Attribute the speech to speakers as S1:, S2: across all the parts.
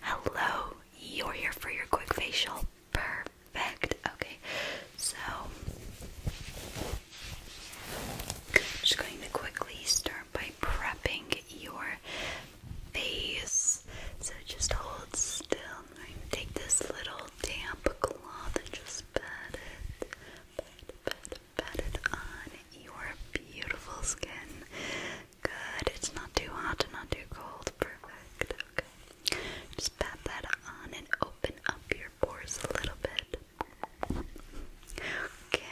S1: Hello, you're here for your quick facial. Perfect. Okay, so I'm just going to quickly start by prepping your face. So just hold still. i take this little damp cloth and just pat it, pat, pat, pat it on your beautiful skin. Good. It's not too hot and not too cold. Perfect. Okay. Just pat that on and open up your pores a little bit. Okay.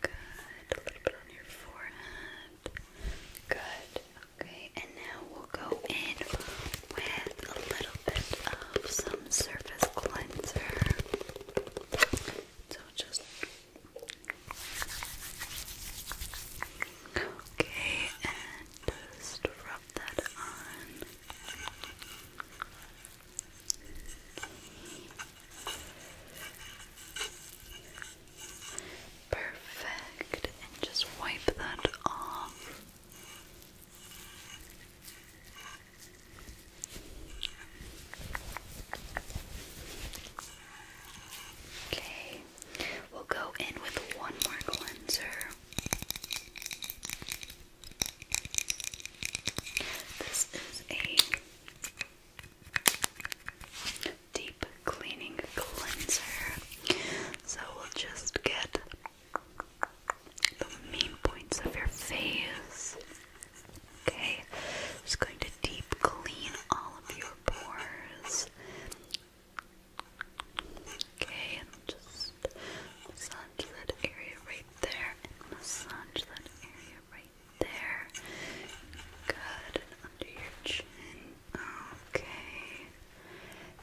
S1: Good. A little bit on your forehead. Good. Okay, and now we'll go in with a little bit of some surface cleanser. So just Okay, and just rub that on. Perfect, and just wipe that off. Okay, we'll go in with one more cleanser. This is a deep cleaning cleanser. So we'll just get the main points of your face. Okay, just going to deep clean all of your pores. Okay, and just massage that area right there, and massage that area right there. Good, under your chin. Okay,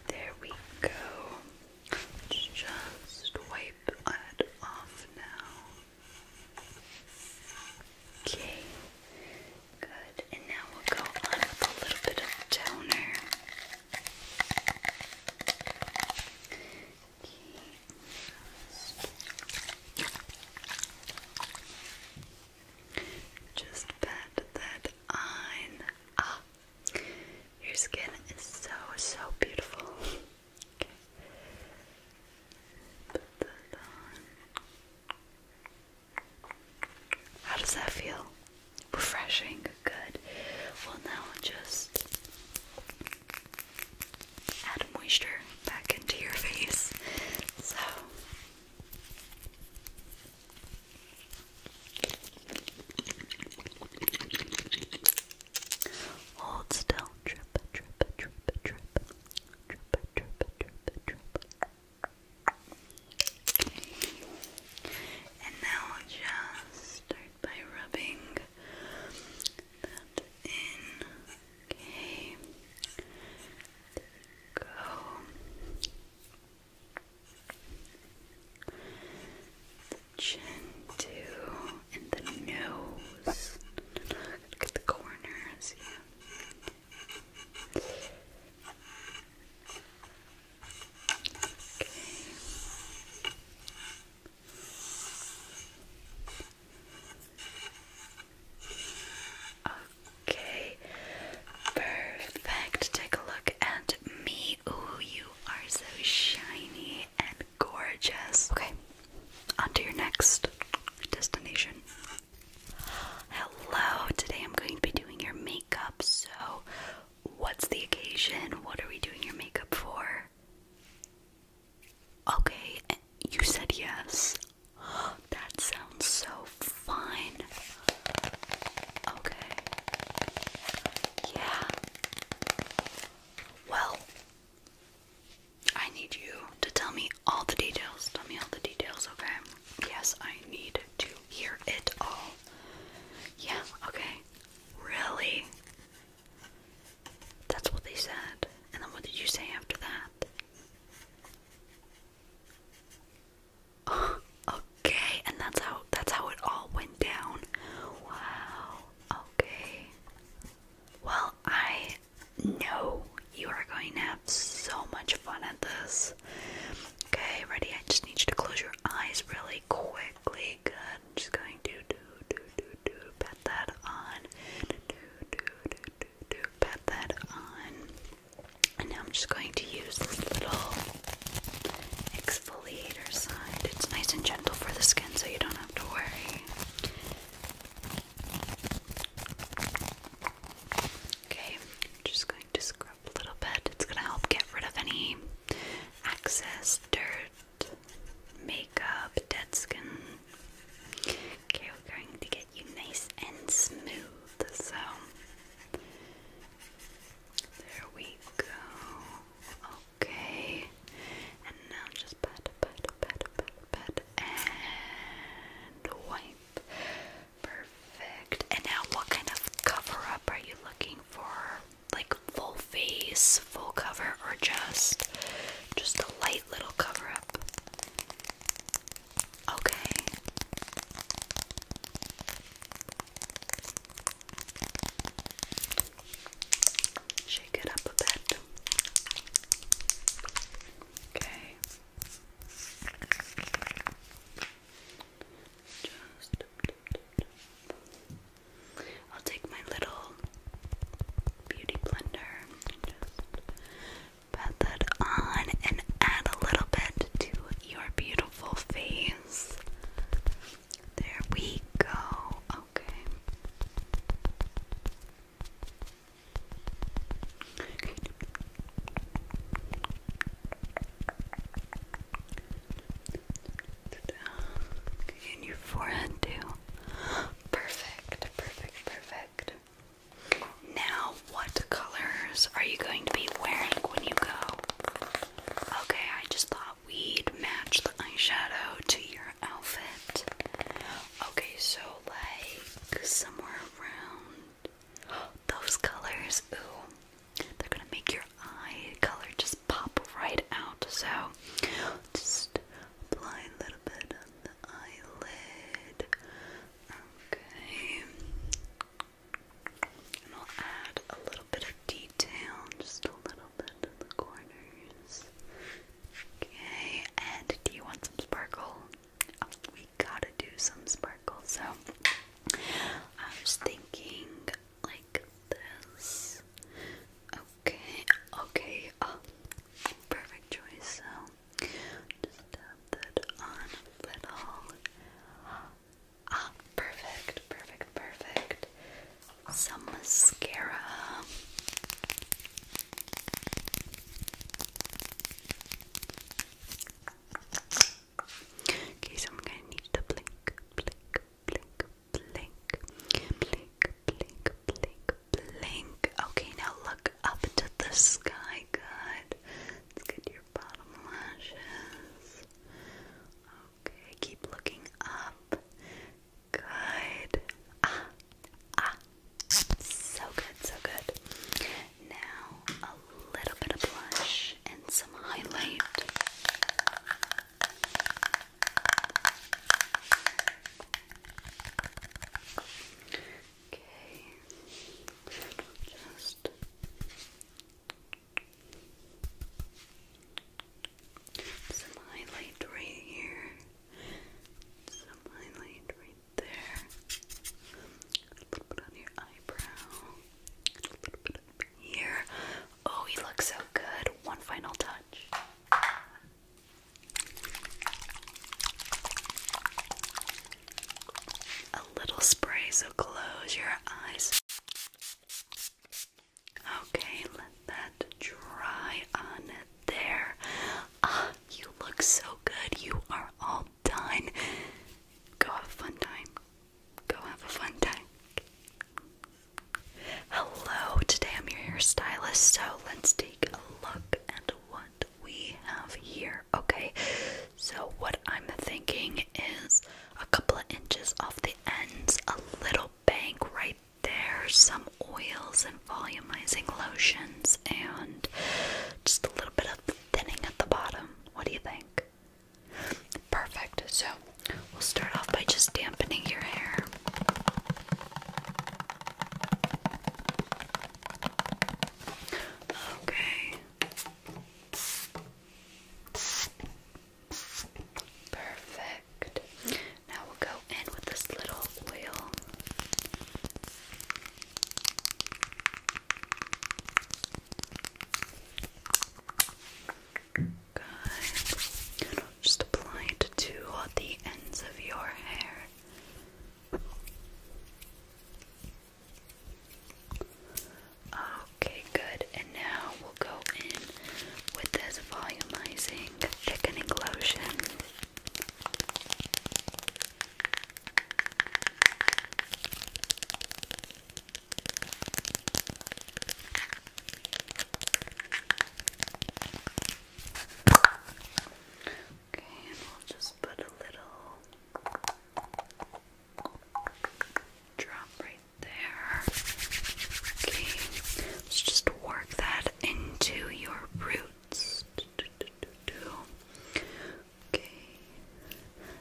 S1: there we go. Just wipe it off now. Okay, good. And now we'll go on with a little bit of toner. Okay. Just pat that on. Ah, your skin is so, so beautiful. How does that feel? Refreshing, good. Well, now just add moisture back into your face. So. Hold still. Drip, drip, drip, drip. Drip, drip, drip, drip. And now just start by rubbing that in. Okay. Go chin too, and the nose. Look at the corners. Okay, perfect. Take a look at me shiny. Ooh, you are so shiny and gorgeous. Okay, on to your next destination. Hello, today I'm going to be doing your makeup. So, what's the occasion? What are we doing your makeup for? Okay, you said yes. That sounds so fun. Okay. Yeah. Well, I need you to tell me all the details. Tell me all the details, okay? Yes, I need to hear it all. Yeah, okay. Really? That's what they said. And then what did you say after that? okay, and that's how that's how it all went down. Wow. Okay. Well, I know you are going to have so much fun at this. Okay, ready? I just need you to close your eyes really quickly. Good. I'm just going to do, do, do, do, pat that on. Do, do, do, do, do, pat that on. And now I'm just going to use this little exfoliator side. It's nice and gentle for the skin, so you don't have to worry. Okay, just going to scrub a little bit. It's going to help get rid of any excess dirt, makeup, dead skin. Okay, we're going to get you nice and smooth. So, there we go. Okay. And now just pat, pat, pat, pat, pat, and wipe. Perfect. And now, what kind of cover up are you looking for? Like full face, full cover, or just just a light little cover up? Okay. Shake it up a bit. Okay. Just I'll take my little beauty blender just pat that on and add a little bit to your beautiful face. There we go. Okay. okay. Okay, your forehead too. Perfect, perfect, perfect. Now, what colors are you going to be wearing when you go? Okay, I just thought we'd match the eyeshadow to your outfit. Okay, so like somewhere around those colors, ooh, they're gonna make your eye color just pop right out. So just apply a little bit on the eyelid. Okay. And I'll add a little bit of detail, just a little bit in the corners. Okay, and do you want some sparkle? Oh, we gotta do some sparkle, so I was thinking like this. Okay, okay, oh, perfect choice. So just tap that on a little. Ah, perfect, perfect, perfect. Some mascara. Okay, so I'm gonna need to blink, blink, blink, blink, blink, blink, blink, blink. Okay, now look up to the sky. Good. Let's bottom lashes. Okay, keep looking up. Good. Ah, ah. So good, so good. Now a little bit of blush and some highlight. Okay. Just some highlight right here. Some highlight right there. A little bit on your eyebrow. A little bit here. Oh, he looks so good. One final touch a little spray, so close your eyes. Okay, let that dry on there. Ah, you look so good. You are all done. Go have a fun time. Go have a fun time. Hello, today I'm your hairstylist, so let's take a look at what we have here. Okay, so what I'm thinking is a couple of inches off the ends, a little bank right there, some oils and volumizing lotions, and just a little bit of thinning at the bottom. What do you think? Perfect. So we'll start off by just dampening your hair. Okay. Perfect. Now we'll go in with this little oil. Good. Just apply it to the ends of your hair. Okay, good. And now we'll go in with this volumizing thickening lotion. Okay, and we'll just put a little drop right there. Okay, let's just work that into your roots. Okay,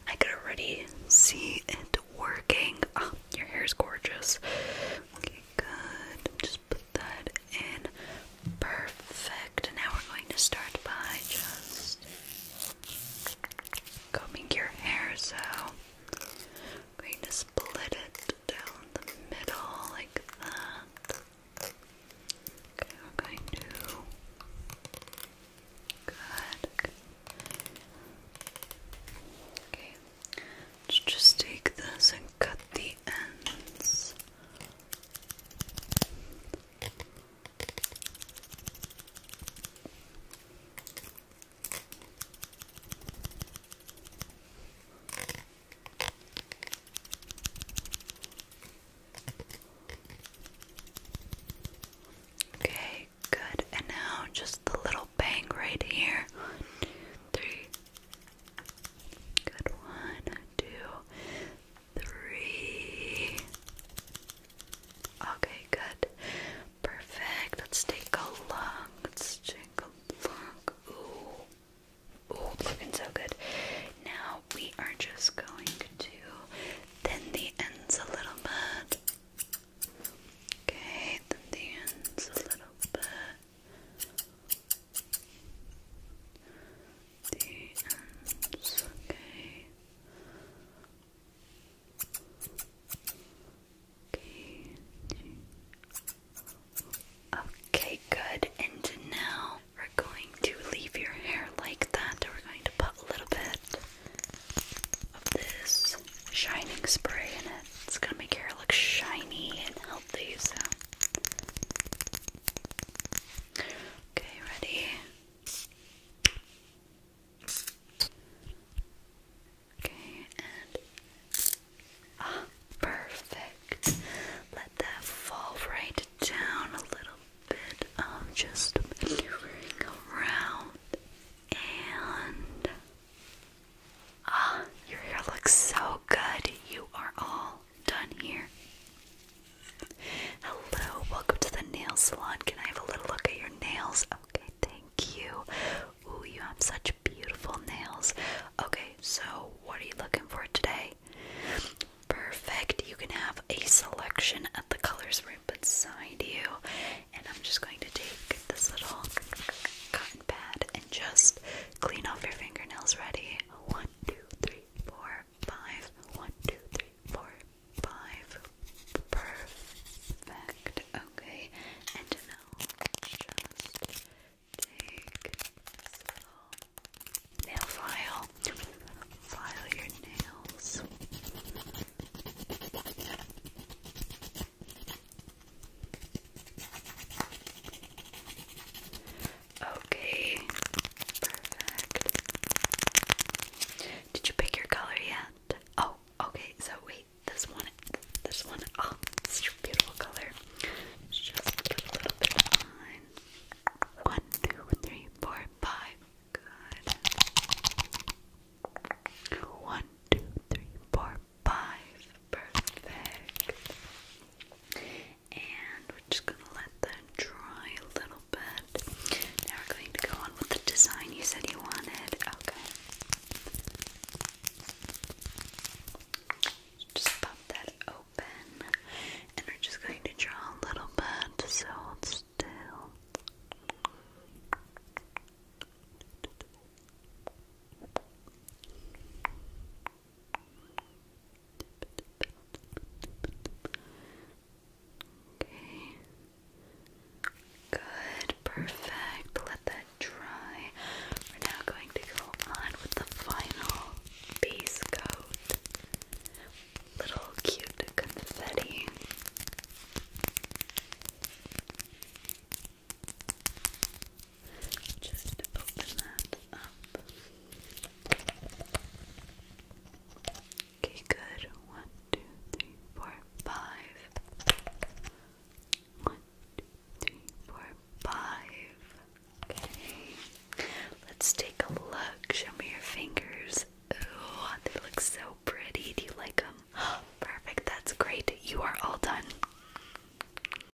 S1: I can already see it working. Ah, your hair is gorgeous. Okay, good. Just put that in. Perfect. Now we're going to start by just combing your hair. So I'm going to split it down the middle like that. Okay, we're going to. Good. Okay. Let's just take this and cut the ends. Okay, good. And now just the little bang right here. three. Good. One, two, three. Okay, good. Perfect. Let's take a look. Let's take a look. Ooh. Ooh, looking so good. Now we are just going to thin the ends a little bit. Okay, thin the ends a little bit okay. Okay, good. And now we're going to leave your hair like that. We're going to put a little bit of this shining spray in it. It's going to make your hair look shiny and healthy. So Okay, ready? Okay, and ah, perfect. Let that fall right down a little bit. Um, just around and ah, your hair looks so good. You are all done here. Hello, welcome to the nail salon. Can I have a little look at your nails? Okay, thank you. Ooh, you have such beautiful nails. Okay, so what are you looking for today? Perfect. You can have a selection of the colors right beside you. And I'm just going to take this little cotton pad and just clean off your fingernails. Ready? One, two, three, four, five. One, two, Perfect. Okay. And now just take this nail file. File your nails. Okay. Perfect. Did you pick your color yet? Oh, okay. So wait, this one, this one. Oh, it's your beautiful color. Just a little bit of One, two, three, four, five. Good. One, two, three, four, five. Perfect and we're just gonna let that dry a little bit. Now we're going to go on with the design you said you wanted. Okay. Just pop that open, and we're just going to draw a little bit. So still. Okay. Good, perfect. Let that dry. We're now going to go on with the final base coat. Little cute confetti just open that up. Okay, good. One, two, three, four, five. One, two, three, four, five. Okay. Let's take a look. Show me your fingers. Oh, they look so pretty. Do you like them? Perfect. That's great. You are all done.